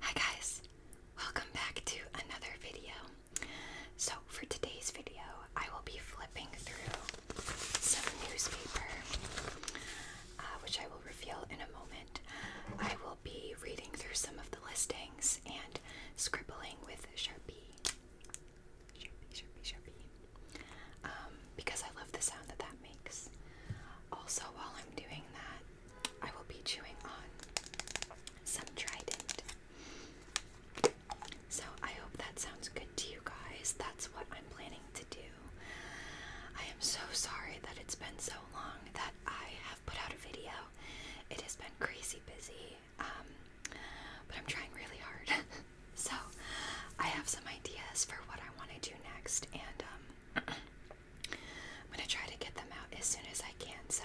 Hi guys, welcome back to another video. So for today's video, I will be flipping through some newspaper, uh, which I will reveal in a moment. I will be reading through some of the listings and scribbling with Sharpie. Sharpie, Sharpie, Sharpie. Um, because I love the sound that that makes. Also, while I'm doing that, I will be chewing on some Trident. So, I hope that sounds good to you guys. That's what I'm planning to do. I am so sorry that it's been so long that I have put out a video. It has been crazy busy, um, but I'm trying really hard. so, I have some ideas for what I want to do next, and um, I'm going to try to get them out as soon as I can. So,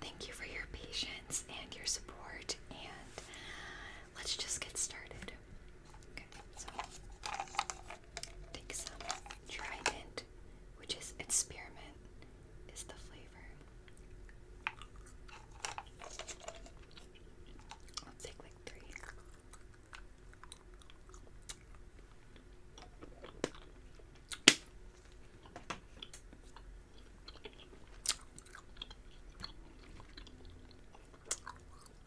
thank you for your patience and your support, and uh, let's just get started. so take some Trident, which is experiment, is the flavor. Let's take like three.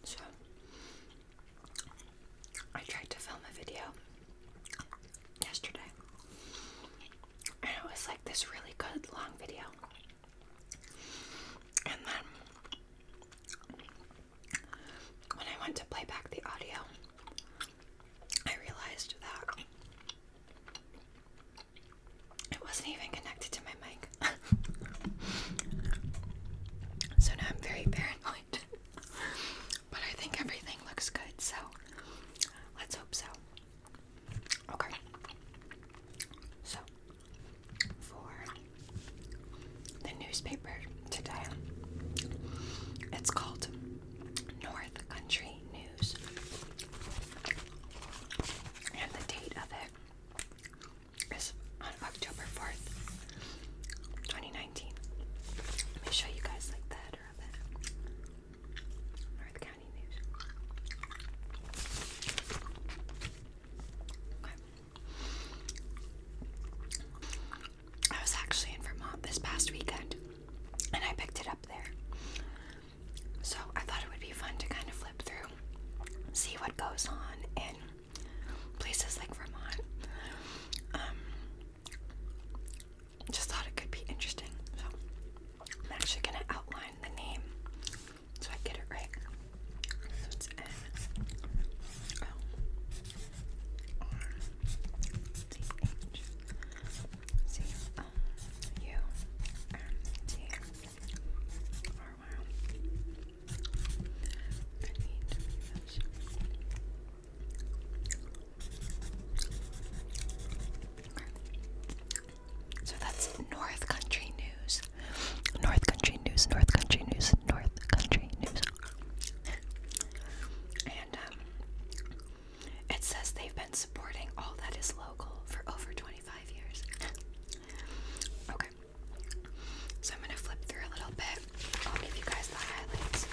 So I tried to film a video yesterday. And it was like this really good long video. And then when I went to play back the audio, I realized that it wasn't even connected to my mic. so now I'm very paranoid. but I think everything looks good, so let's hope so. Okay. So, for the newspaper today. It's called North Country News. And the date of it is on October 4th, 2019. Let me show you guys like the header of it. North County News. I was actually in Vermont this past weekend and I picked it up there. So I thought it would be fun to kind of flip through, see what goes on in places like Vermont. Um, just thought it could be interesting. So I'm actually going to outline the name so I get it right. It's N L R T H C O U R T R Y. I So that's North Country News. North Country News, North Country News, North Country News and um, it says they've been supporting all that is local for over 25 years. okay, so I'm gonna flip through a little bit. I'll give you guys the highlights.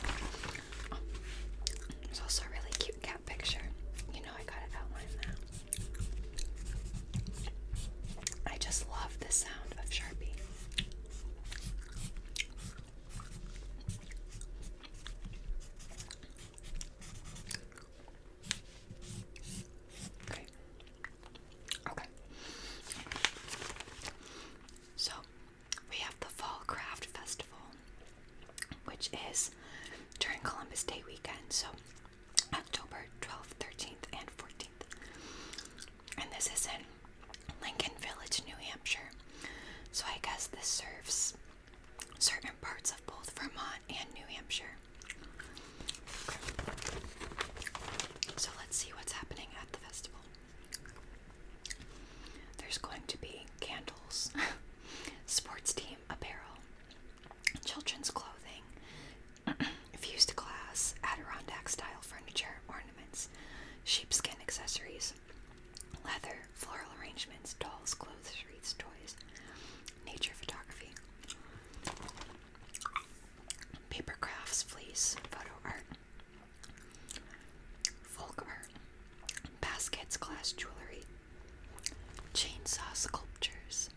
there's also a really cute cat picture. You know, I gotta outline that. I just love the sound of Sharpie. Okay. Okay. So we have the Fall Craft Festival, which is during Columbus Day weekend, so October 12th, 13th, and 14th and this is in Lincoln Village, New Hampshire. So I guess this serves certain parts of both Vermont and New Hampshire. So let's see what's happening at the festival. There's going to be candles, sports team apparel, children's clothing, fused glass, Adirondack style furniture, ornaments, sheepskin accessories, leather, floral arrangements, dolls, clothes, wreaths, toys, nature photography, paper crafts, fleece, photo art, folk art, baskets, glass jewelry, chainsaw sculptures.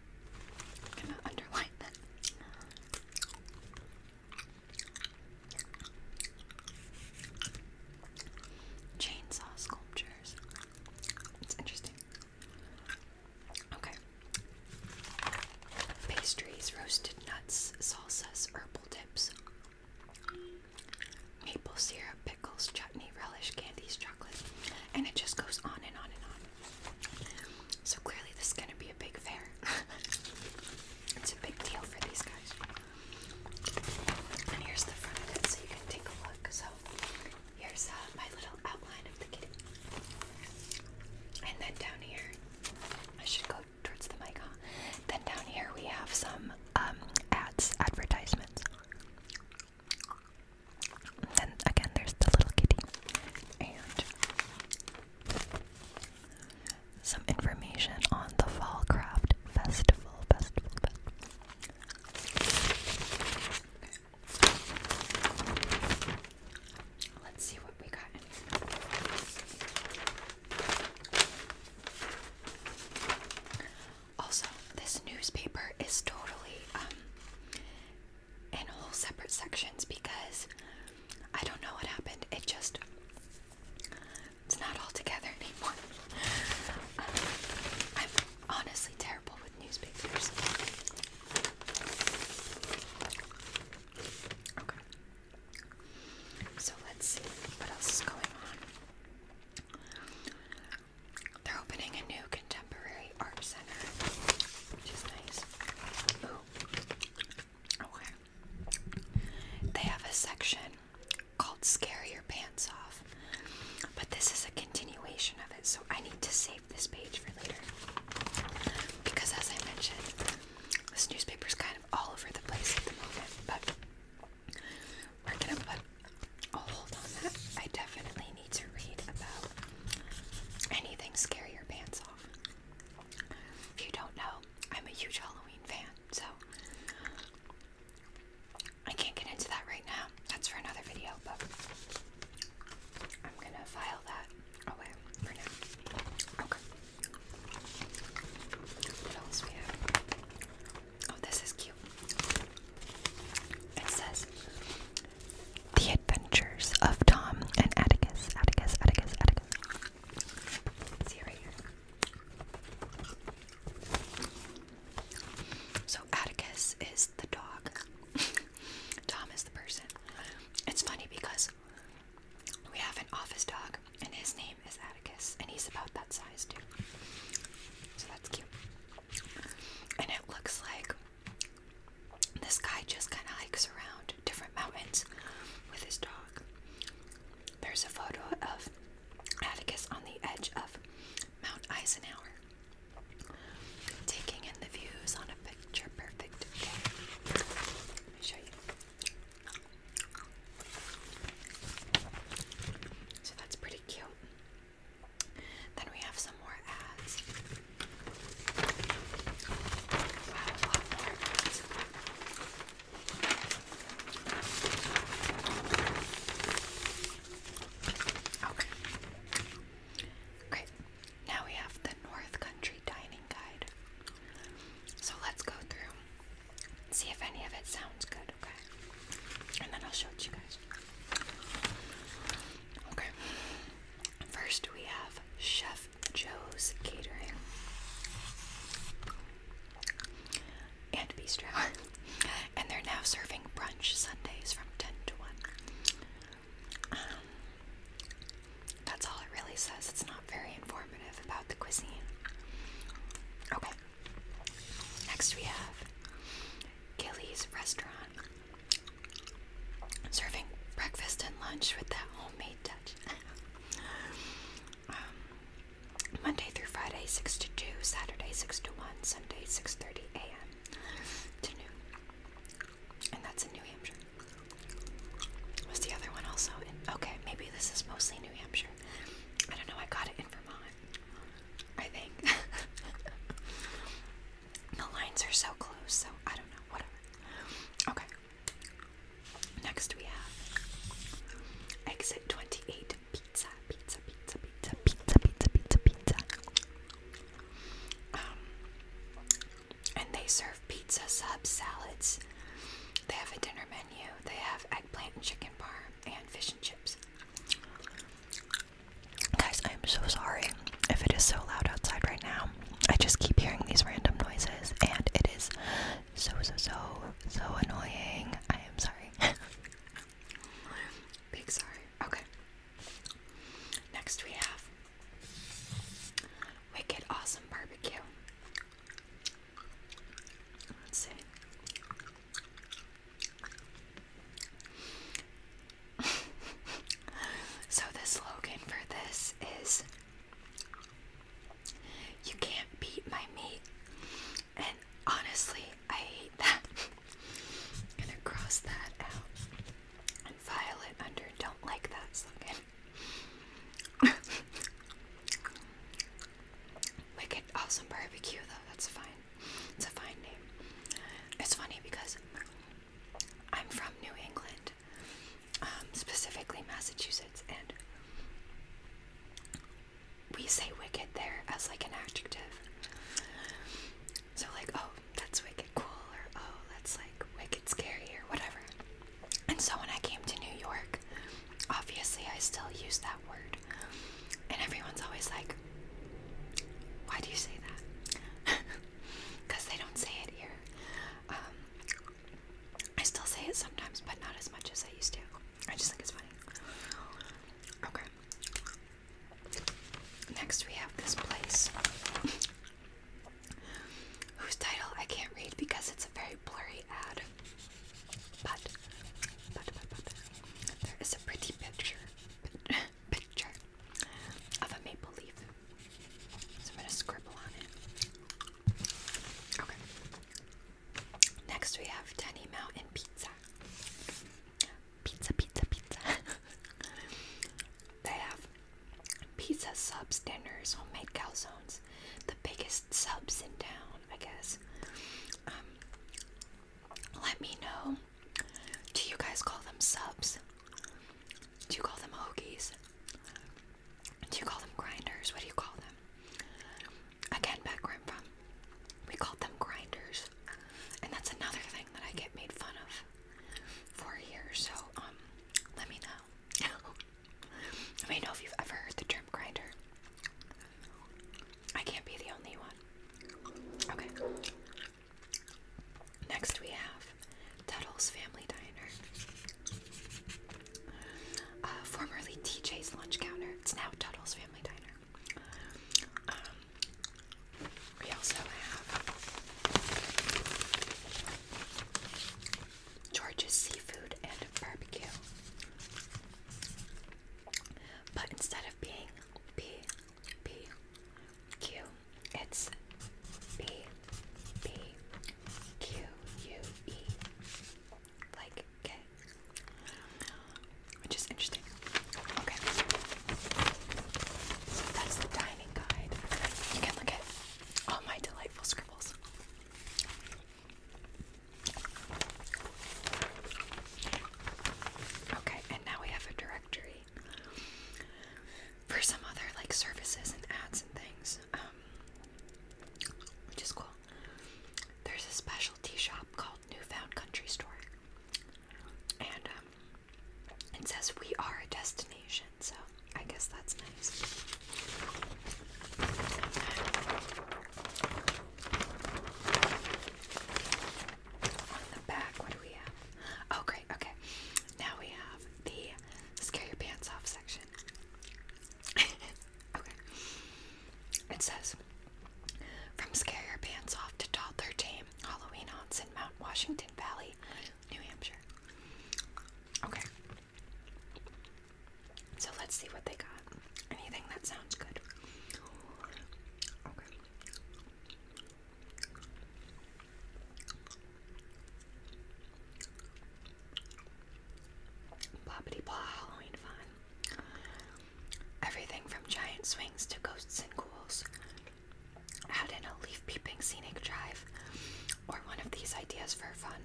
I'm gonna underline that. Chainsaw sculptures. It's interesting. Okay. Pastries, roasted nuts, salsas, herbal dips, maple syrup, pickles, chutney, relish, candies, chocolate, and it just goes on and on and on. So clearly, this is going to be be a big fair. it's a big deal for these guys. And here's the front of it so you can take a look. So here's uh, my little outline of the kitty. And then down here, I should go towards the mic, huh? Then down here we have some um, ads, advertisements. then again, there's the little kitty. Some information on the Fall Craft Festival. Festival, Let's see what we got Also, this newspaper is totally um, in whole separate sections because I don't know what happened. It just it's not all together anymore. Um, I'm honestly terrible with newspapers. Okay. So let's see what else is going on. They're opening a new contemporary art center, which nice. Ooh. Okay. They have a section called Scare Your Pants Off, but this is a continuation of it, so I need to save this page for later. Because, as I mentioned, this newspaper is kind of all over the place at the moment, but we're gonna put a oh, hold on that. I definitely need to read about anything scare your pants off. If you don't know, I'm a huge Halloween fan, so I can't get into that right now. That's for another video, but I'm gonna file that away for now. Okay. Oh, this is cute. It says The Adventures of Tom and Atticus. Atticus, Atticus, Atticus. So Atticus is the dog. Tom is the person. It's funny because we have an office dog and his name is Atticus and he's about that size too. So that's cute. And it looks like this guy just kind of hikes around different mountains with his dog. There's a photo of Atticus on the edge of Mount Eisenhower, taking in the views on a picture perfect day. So that's pretty cute. Then we have some more ads. Okay. Great. Now we have the North Country Dining Guide. So let's go through and see if any of it sounds good, okay? And then I'll show it to you guys. Okay. First, we have Chef Joe's Catering and Bistro. and they're now serving brunch Sundays from 10 to 1. Um, that's all it really says. It's not very informative about the cuisine. Okay. Next we have Gilly's Restaurant. Serving breakfast and lunch with that homemade touch. Um, Monday through Friday, 6 to 2, Saturday, 6 to 1, Sunday, 6.30 a.m. to noon. And that's in New Hampshire. Was the other one also Okay, maybe this is mostly New Hampshire. I don't know, I got it in Vermont. I think. the lines are so close, so I don't know, whatever. Okay. Next we have Exit 28 Pizza, Pizza, Pizza, Pizza, Pizza, Pizza, Pizza, Pizza. Um, and they serve pizza, subs, salads. They have a dinner menu. They have eggplant and chicken parm and fish and chips. Guys, I'm so sorry if it is so loud outside right now. I just keep hearing these random noises, and it is so so so so annoying. I am sorry. Big sorry. Okay. Next we have Wicked Awesome Barbecue. Let's see. so the slogan for this is you can't beat my meat. And honestly, I hate that. gonna cross that out. And violet under. Don't like that slogan. Wicked Awesome Barbecue, though. That's fine. It's a fine name. It's funny because I'm from New England um, specifically Massachusetts, and we say wicked there as like an adjective. So, like, oh, that's wicked cool, or oh, that's like wicked scary, or whatever. And so, when I came to New York, obviously I still use that word. And everyone's always like, why do you say that? Because they don't say it here. Um, I still say it sometimes, but not as much as I used to. I just think it's funny. Okay. Next, we have this place, whose title I can't read because it's a very blurry ad. But, but, but, but, there is a pretty picture, picture of a maple leaf. So I'm gonna scribble on it. Next we have Danny Mountain Pizza. Pizza, pizza, pizza. they have pizza subs, dinners, homemade calzones, the biggest subs in town, I guess. Um, let me know. Do you guys call them subs? Do you call them hoagies? Do you call them grinders? What do you call them? Again, back where I'm from, we called them grinders. And that's another thing that I get made fun of for here. So, um, let me know. let me know if you've ever heard the term grinder. I can't be the only one. Okay. Next we have Tuttle's Family Diner. Uh, formerly TJ's lunch counter. It's now Tuttle's Family Diner. Um, we also have George's Seafood and Barbecue. But instead of being P, P, Q, it's B, B, Q U E, like K, which is interesting. Okay, so that's the dining guide. You can look at all my delightful scribbles. Okay, and now we have a directory for some other like services and ads and things. Um, which is cool. There's a specialty shop called Newfound Country Store, and um, it says we are a destination, so I guess that's nice. On the back, what do we have? Oh, great, okay. Now we have the Scare Your Pants Off section. okay. It says From Scare Your Pants Off to Toddler Tame, Halloween Haunts in Mount Washington Valley, New Hampshire. Okay. So let's see what they got. Anything that sounds good. Okay. Boppity blah Halloween fun. Everything from giant swings to ghosts and ghouls. Add in a leaf peeping scenic drive or one of these ideas for fun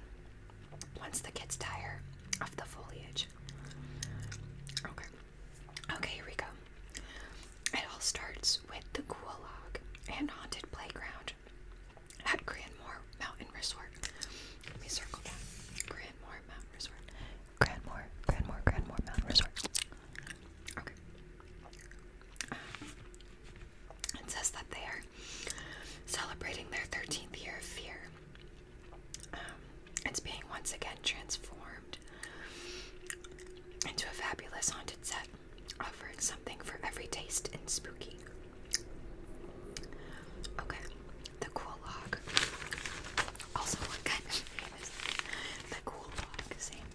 once the kids tire of the foliage. Okay. Okay, here we go. It all starts with the Cool and Haunted Playground at Grandmore Mountain Resort. Let me circle that. Grandmore Mountain Resort. Grandmore, Grandmore, Grandmore Mountain Resort. Okay. Um, it says that they are celebrating their 13th year of fear. Um, it's being once again transformed into a fabulous haunted set, offering something for every taste and spooky. Okay, the cool log. Also, what kind of name is the cool log? Same.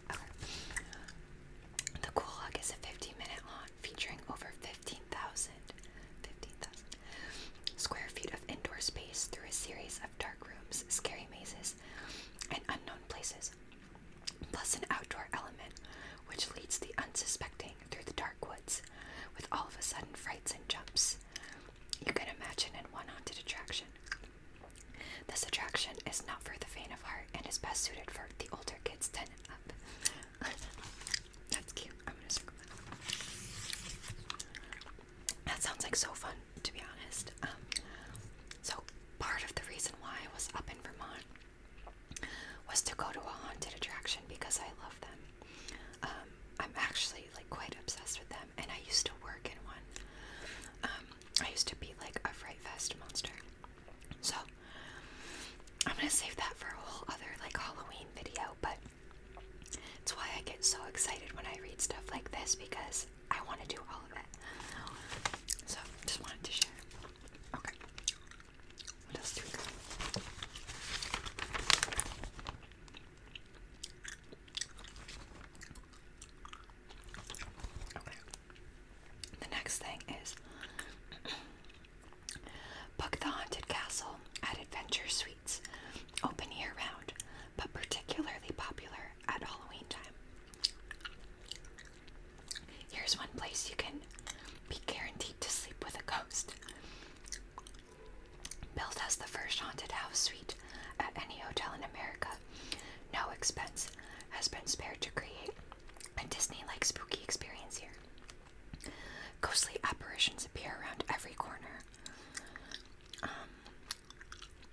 The cool log is a 15 minute lawn featuring over 15,000 square feet of indoor space through a series of dark rooms, scary mazes, and unknown places, plus an outdoor element which leads the unsuspecting through the dark woods with all of a sudden frights and jumps you can imagine an one haunted attraction. This attraction is not for the faint of heart and is best suited for the older kids 10 up. That's cute. I'm gonna circle that. That sounds like so fun, to be honest. Um, so, part of the reason why I was up in Vermont was to go to a haunted attraction because I love them. Um, I'm actually like quite obsessed with them, and I used to work in one. Um, I used to be like a fright fest monster. So I'm gonna save that for a whole other like Halloween video, but it's why I get so excited when I read stuff like this because I want to do all of it. So just wanted to share. Okay. What else do we got? The next thing is Book the Haunted Castle at Adventure Suites. Open year round, but particularly popular at Halloween time. Here's one place you can be guaranteed to sleep with a ghost. Built as the first haunted house suite at any hotel in America, no expense has been spared to create a Disney like spooky experience here. Ghostly apparitions appear around every corner. Um,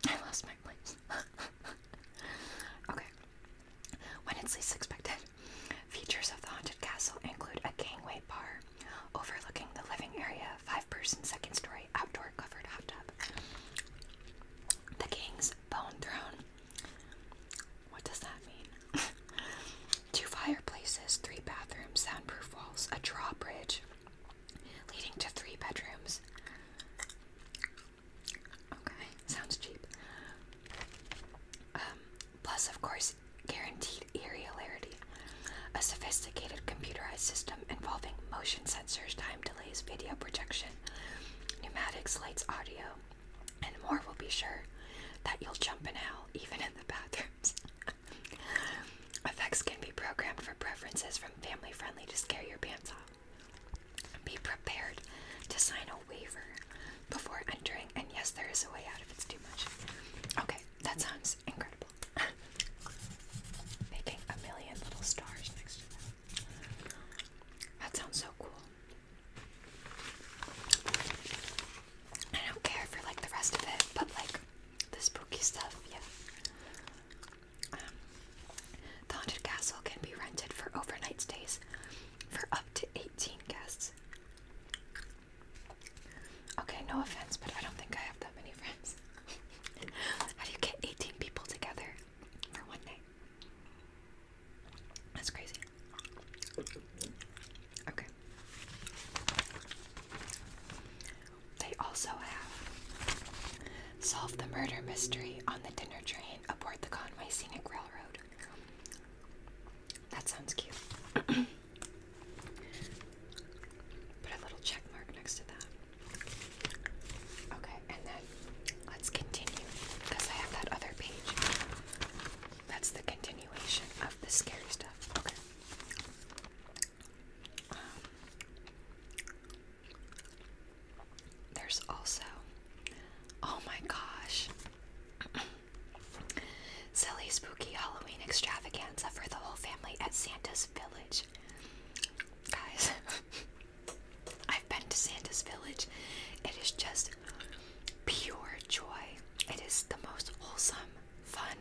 I lost my place. okay. When it's least expected, Features of the haunted castle include a gangway bar overlooking the living area, five person, second story, outdoor covered hot tub. The king's bone throne. What does that mean? Two fireplaces, three bathrooms, soundproof walls, a drawbridge leading to three bedrooms. Okay, sounds cheap. Um, Plus, of course, guaranteed irregularity. A sophisticated computerized system involving motion sensors, time delays, video projection, pneumatics, lights, audio, and more will be sure that you'll jump in hell, even in the bathrooms. Effects can be programmed for preferences from family friendly to scare your pants off. Be prepared to sign waiver before entering. And yes, there is a way out if it's too much. Okay, that sounds incredible. Making a million little stars next to them. That sounds so cool. I don't care for like the rest of it, but like the spooky stuff, um, the haunted castle can be rented for overnight stays for up to 18 guests. Okay, no offense, but I don't think I have that many friends. How do you get 18 people together for one night? That's crazy. Okay. They also have solved the murder mystery on the dinner train aboard the Conway Scenic Railroad. That sounds cute. Put a little check mark next to that. Okay, and then let's continue because I have that other page. That's the continuation of the scary stuff. Okay. Um, there's also, oh my gosh, Silly spooky Halloween extravaganza for the whole family at Santa's Village. Guys, I've been to Santa's Village. It is just pure joy. It is the most wholesome fun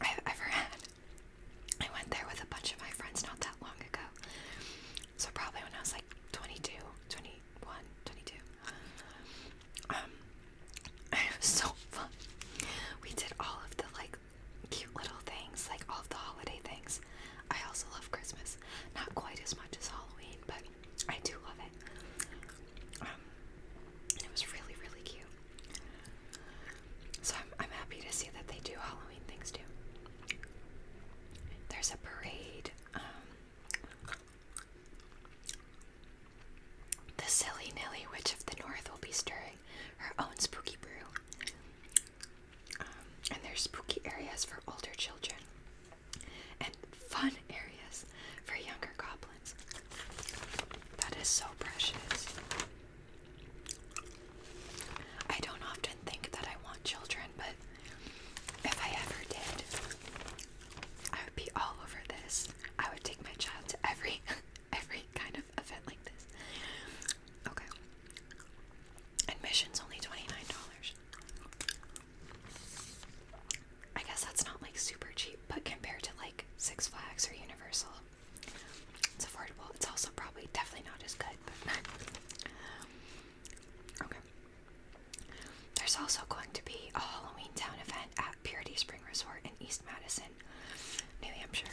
I've ever had. I went there with a bunch of my friends not that long ago. So probably when I was like 22, 21, 22 it um, was so fun. We did all of the like cute little things, like all of the holiday things. I also love Christmas, not quite as much as Halloween, but I do love it. Um, it was really, really cute. So I'm, I'm happy to see that they do Halloween things too. There's a parade um, the silly Nilly Witch of the North will be stirring her own spooky brew. Um, and there's spooky areas for older children and fun areas for younger goblins. That is so precious. I don't often think that I want children, but if I ever did, I would be all over this. I would take my child to every every kind of event like this. Okay. Admission's only $29. I guess that's not like super cheap, but compared to like Six Flags or Universal, it's affordable. It's also probably definitely not as good, okay. There's also going to be a Halloween Town event at Purity Spring Resort in East Madison, New Hampshire.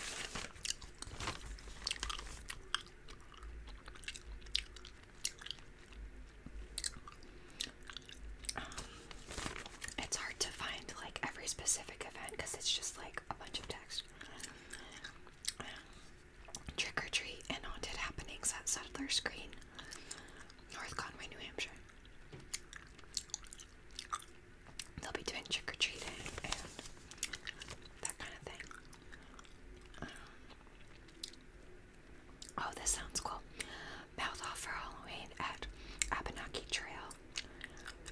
Um, it's hard to find like every specific event because it's just like a bunch of text. Um, trick or treat and haunted happenings at Settler's Green North Conway, New Hampshire. They'll be doing trick or treating and that kind of thing. Um, oh, this sounds cool. Mouth off for Halloween at Abenaki Trail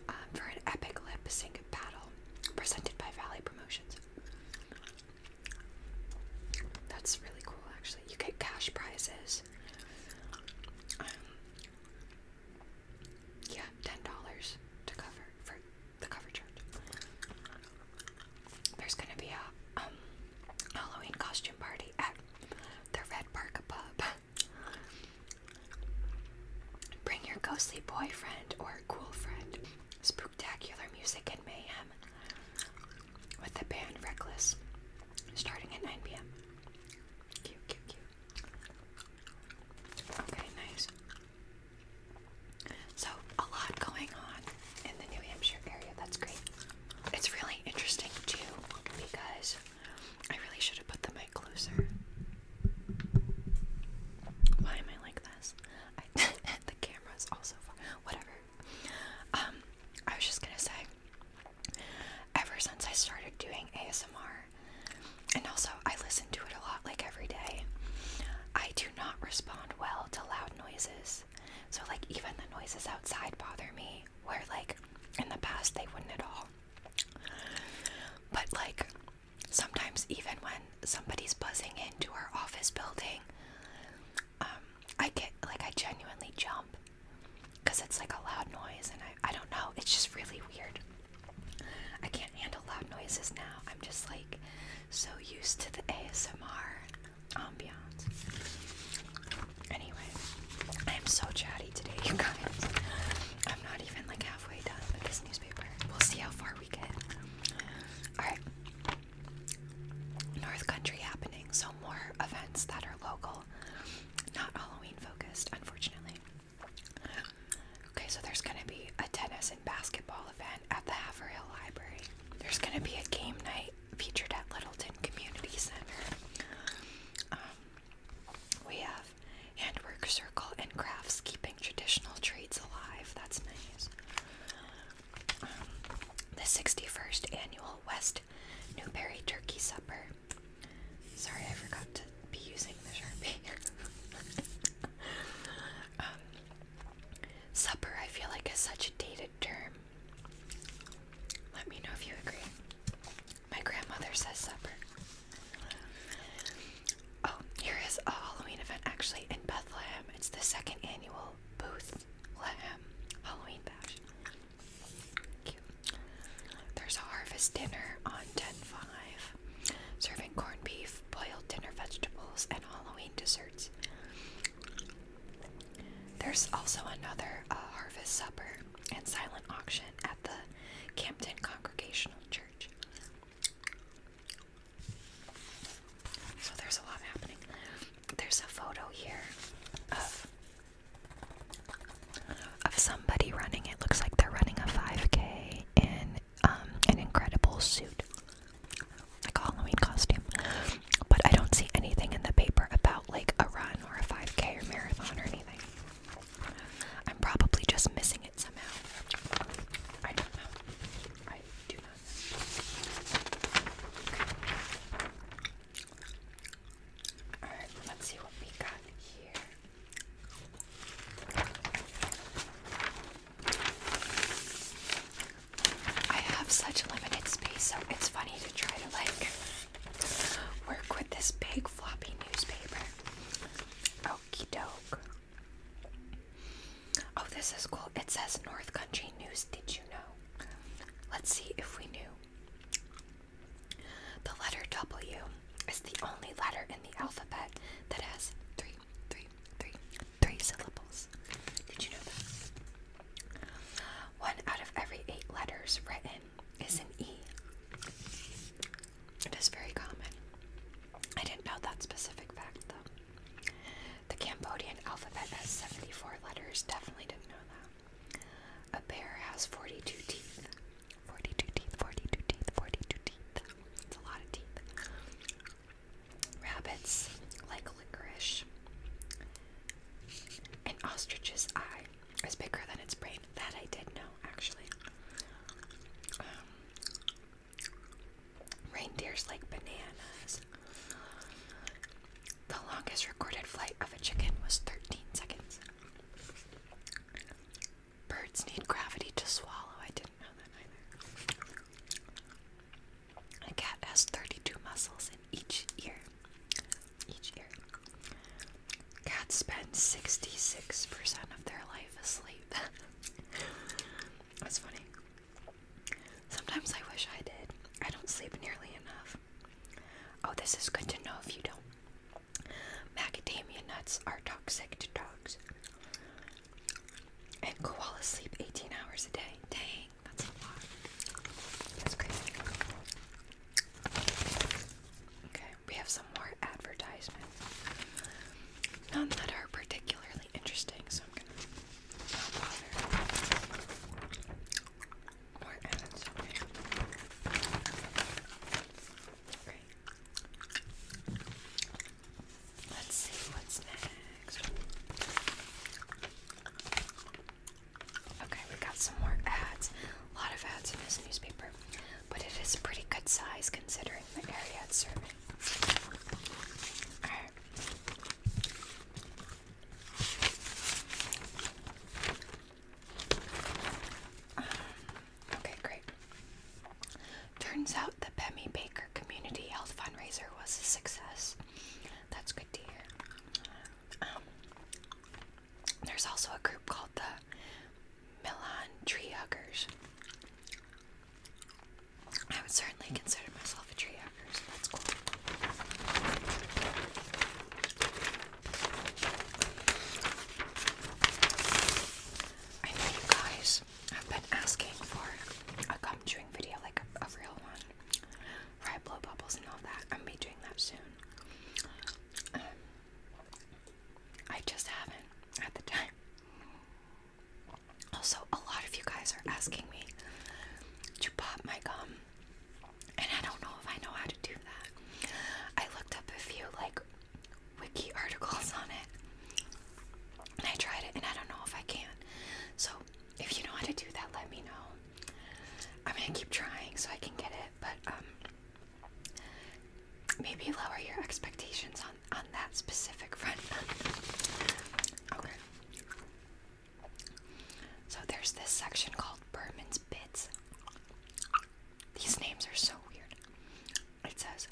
um, for an epic lip sync battle presented by Valley Promotions. That's really cool, actually. You get cash prizes um, yeah, ten dollars to cover for the cover charge. There's gonna be a um, Halloween costume party at the Red Park Pub. Bring your ghostly boyfriend or cool friend. Spooktacular music and mayhem with the band Reckless starting at 9 p.m. Okay, nice. So, a lot going on in the New Hampshire area. That's great. It's really interesting, too, because I really should have put the mic closer. Why am I like this? I, the camera's also Whatever. Um, I was just gonna say ever since I started doing ASMR, and also I listen to it a lot like every day, I do not respond well to loud noises. So, like, even the noises outside bother me, where, like, in the past they wouldn't at all. But, like, sometimes even when somebody's buzzing into our office building, um, I get like I genuinely jump because it's like a loud noise, and I I don't know. It's just really weird. I can't handle loud noises now. I'm just like so used to the ASMR ambiance. Anyway, I am so chatty today, you guys. I'm not even like halfway done with this newspaper. We'll see how far we get. Alright. North Country happening, so more events that local, not Halloween focused, unfortunately. Okay, so there's gonna be a tennis and basketball event at the Haverhill Library. There's gonna be a game night featured at Littleton Community Center. Um, we have handwork circle and crafts keeping traditional trades alive. That's nice. Um, the 61st annual West Newberry turkey supper. Sorry, I forgot to be using the Sharpie. Um, supper, I feel like, is such a dated term. Let me know if you agree. My grandmother says supper. Oh, here is a Halloween event actually in Bethlehem. It's the second annual Booth Lehem Halloween Bash. There's a harvest dinner on 10-5, serving corned beef, boiled dinner vegetables, and Halloween desserts. There's also another uh, harvest supper and silent auction at the Campton Congregational Church. So there's a lot happening. There's a photo here of of somebody running. It looks like they're running a 5K in um, an incredible suit, like a Halloween costume. But I don't see anything in the paper about like a run or a 5K or marathon or anything. I'm probably just missing it somehow. Alright, let's see what we got here. I have such limited space, so it's funny to try to like work with this big floppy newspaper. Okie doke. Oh, this is cool. It says North Country News. Did you know? Let's see if we knew. The letter W is the only letter in the alphabet that has three, three, three, three syllables. Did you know that? One out of every eight letters written is an E. It is very common. I didn't know that specific fact though. The Cambodian alphabet has 74 letters, definitely didn't know that. A bear has 42 teeth. 42 teeth, 42 teeth, 42 teeth. It's a lot of teeth. Rabbits like licorice. An ostrich's eye is bigger than its brain. That I did know, actually. Um, reindeers like bananas. The longest recorded flight of a chicken was 13 seconds. Birds need gravity to swallow. I didn't know that A cat has 32 muscles in each ear. Each ear. Cats spend 66% of their life asleep. That's funny. Sometimes I wish I did. I don't sleep nearly enough. Oh, this is good to know if you don't. Macadamia nuts are toxic to dogs. And koalas sleep 18 hours a day. Dang, that's a lot. That's crazy. Okay, we have some more advertisements. None that are particularly interesting, so I'm gonna not bother. Or add something. Okay. Let's see what's next. Okay, we got some more ads. A lot of ads in this newspaper, but it is a pretty good size considering the area it's serving. Alright. Um, okay, great. Turns out the Bemmy Baker Community Health Fundraiser was a success. That's good to hear. Um, there's also a group called the Milan Tree Huggers. I would certainly consider myself a tree hugger. I know you guys have been asking for a gum chewing video, like a, real one, where I blow bubbles and all that. I'm be doing that soon. Um, I just haven't at the time. Also, a lot of you guys are asking me to pop my gum and I don't know if I know how to do that. I looked up a few like wiki articles on it. And I tried it and I don't know if I can. So if you know how to do that, let me know. I'm gonna keep trying so I can get it, but um, maybe lower your expectations on on that specific front. okay. So there's this section called Berman's Bits. These names are so weird. It says,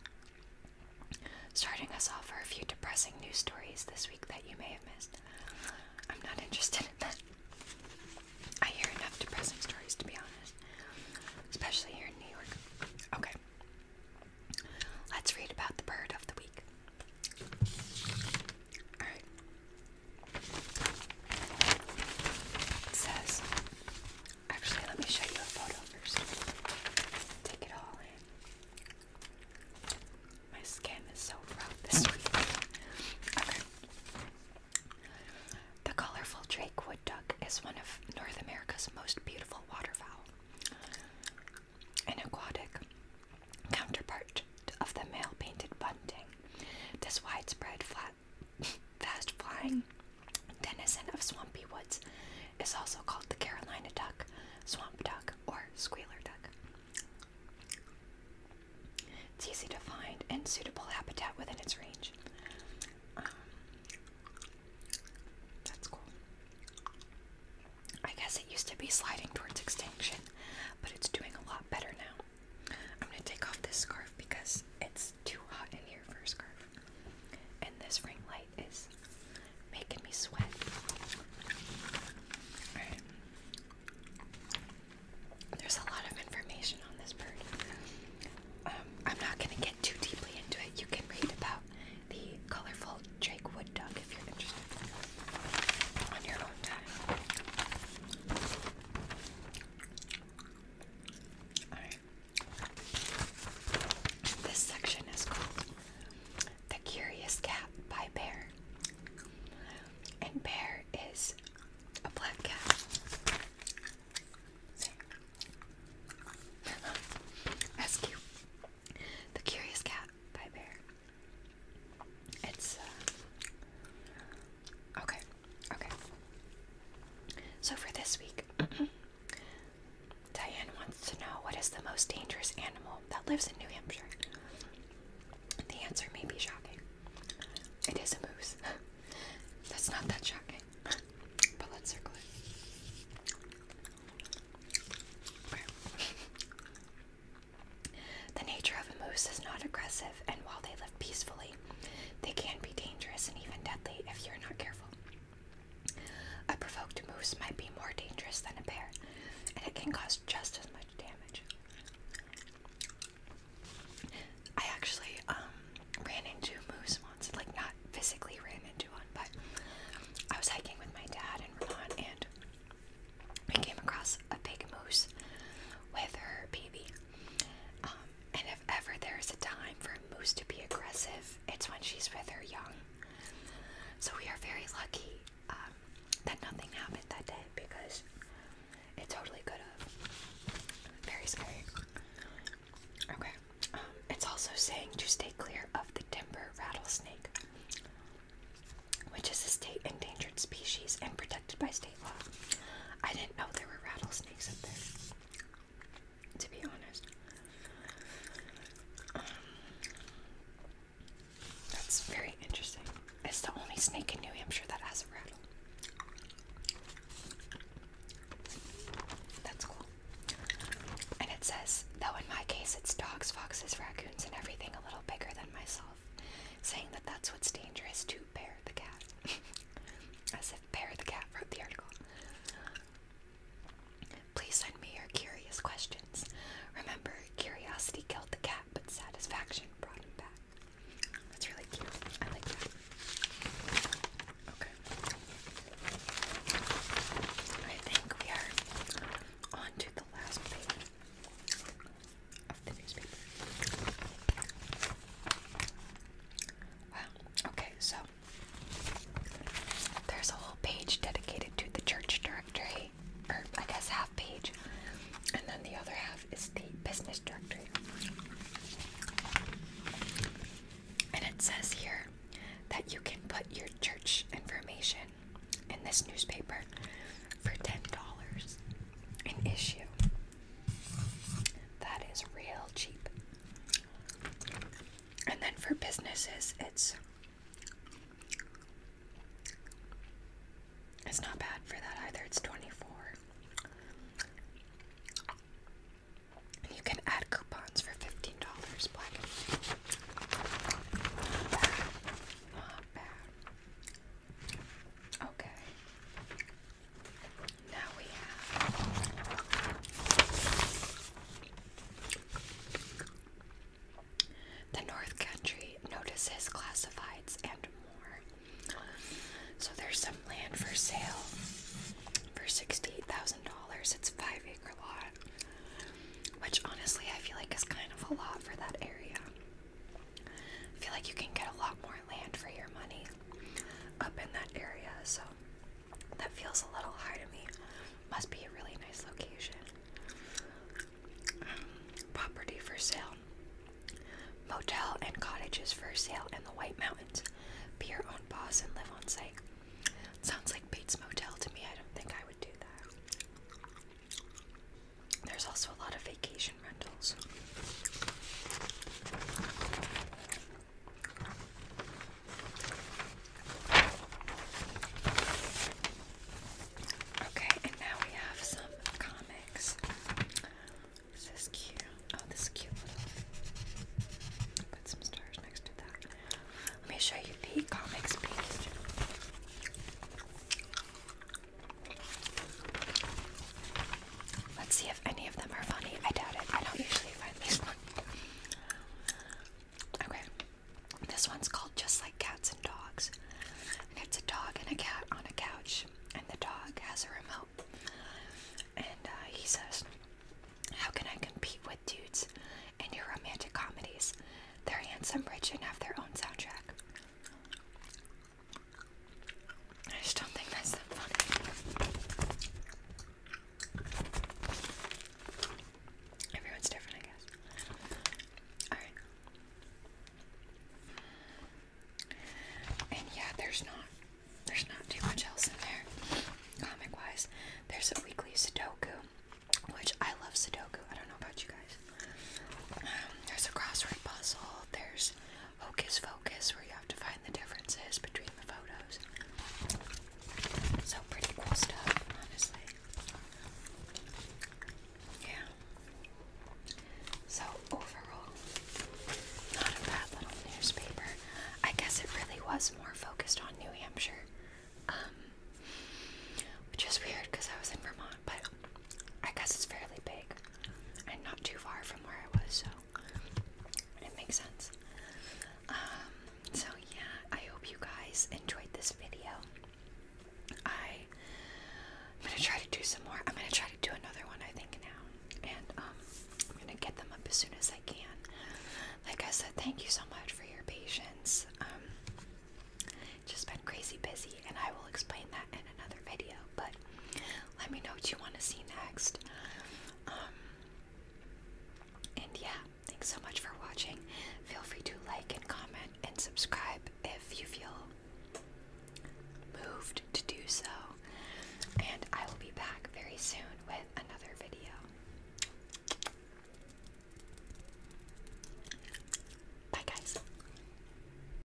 starting us off are a few depressing news stories this week that you may have missed. I'm not interested in that. I hear enough depressing stories to be honest, especially here in New York. Okay, let's read about the bird of the week. Alright, it says, actually, let me show you a photo first. Take it all My skin is so rough this week. Okay. The colorful Drake wood duck is one of North America's most beautiful waterfowl, an aquatic counterpart of the male painted bunting. This widespread flat, fast flying denizen of swampy woods is also called the Carolina duck, swamp duck, or squealer duck. It's easy to find and suitable habitat within its range. Um, that's cool. I guess it used to be sliding towards extinction, but it's doing a lot better now. I'm gonna take off this scarf because it's too hot in here for a scarf. And this ring light is making me sweat. Alright. There's a lot of information on this bird. Um, I'm not gonna get too deeply into it. You can read about the colorful Drake wood duck if you're interested on your own time. This section is called The Curious Cat by Bear. And Bear is a black cat. See? The Curious Cat by Bear. It's uh, okay, okay. So for this week, Diane wants to know what is the most dangerous animal that lives in New Hampshire. The answer may be shocking. It is a moose. That's not that shocking, but let's circle it. The nature of a moose is not aggressive, and while they live peacefully, they can be dangerous and even deadly if you're not careful. A provoked moose might be more dangerous than a bear, and it can cause just as much damage. I actually um, ran into moose once, like not physically ran into one, but I was hiking with my dad and Ron, and we came across a big moose with her baby. Um, and if ever there's a time for a moose to be aggressive, it's when she's with her young. So we are very lucky um, that nothing happened that day because it totally could have. Very scary. Okay. Um, it's also saying to stay clear of the timber rattlesnake which is a state endangered species and protected by state law. I didn't know there were rattlesnakes up there, to be honest. Um, that's very interesting. It's the only snake in New Hampshire that has a rattle. That's cool. And it says, though in my case it's dogs, foxes, raccoons, and everything a little bigger than myself, saying that that's what's dangerous too. Bear the Cat. As if Bear the Cat wrote the article. Please send me your curious questions. Remember, curiosity killed the cat, but satisfaction brought him back. That's really cute. I like that. Okay. I think we are on the last page. Wow, okay, so there's a whole page dedicated to the church directory, or I guess half page, and then the other half is the business directory. And it says here that you can put your church information in this newspaper for $10 an issue. That is real cheap. And then for businesses, it's it's not bad for that either. It's 24. you can add coupons for $15 Not bad. Not bad. Okay. Now we have the North Country notices classifieds and more. So there's some land for sale for sixty-eight thousand dollars. It's five acre lot, which honestly I feel like is kind of a lot for that area. I feel like you can get a lot more land for your money up in that area, so that feels a little high to me. Must be a really nice location. Um, property for sale. Motel and cottages for sale in the White Mountains. Be your own boss and live on site. Sounds like Bates Motel to me. I don't think I would do that. There's also a lot of vacation rentals. Okay, and now we have some comics. Is cute? Oh, this cute little. Put some stars next to that. Let me show you the comics page. Let's see if any of them are funny. I doubt it. I don't usually find these funny. Okay, this one's called Just Like Cats and Dogs. And it's a dog and a cat on a couch, and the dog has a remote. And uh, he says, How can I compete with dudes in your romantic comedies? They're handsome, rich, and have their own soundtrack. I just don't think that's that funny. Everyone's different, I guess. Alright. And yeah, there's not there's not too much else in there. Comic wise. There's a weekly Sudoku, which I love Sudoku. I don't know about you guys. Um, there's a crossword puzzle, there's Focus, Focus, where you have to find the differences between the photos. So, pretty cool stuff, honestly. Yeah. So, overall, not a bad little newspaper. I guess it really was more focused on New Hampshire, um, which is weird because I was in Vermont but I guess it's fairly big and not too far from where I was, so it makes sense. Um, so yeah, I hope you guys enjoyed this video. I, am gonna try to do some more. I'm gonna try to do another one, I think now, and um, I'm gonna get them up as soon as I can. Like I said, thank you so much for your patience. Um, just been crazy busy, and I will explain that in another video. But let me know what you want to see next. Um, and yeah, thanks so much for watching. Feel free to like and comment and subscribe if you feel moved to do so. And I will be back very soon with another video. Bye, guys.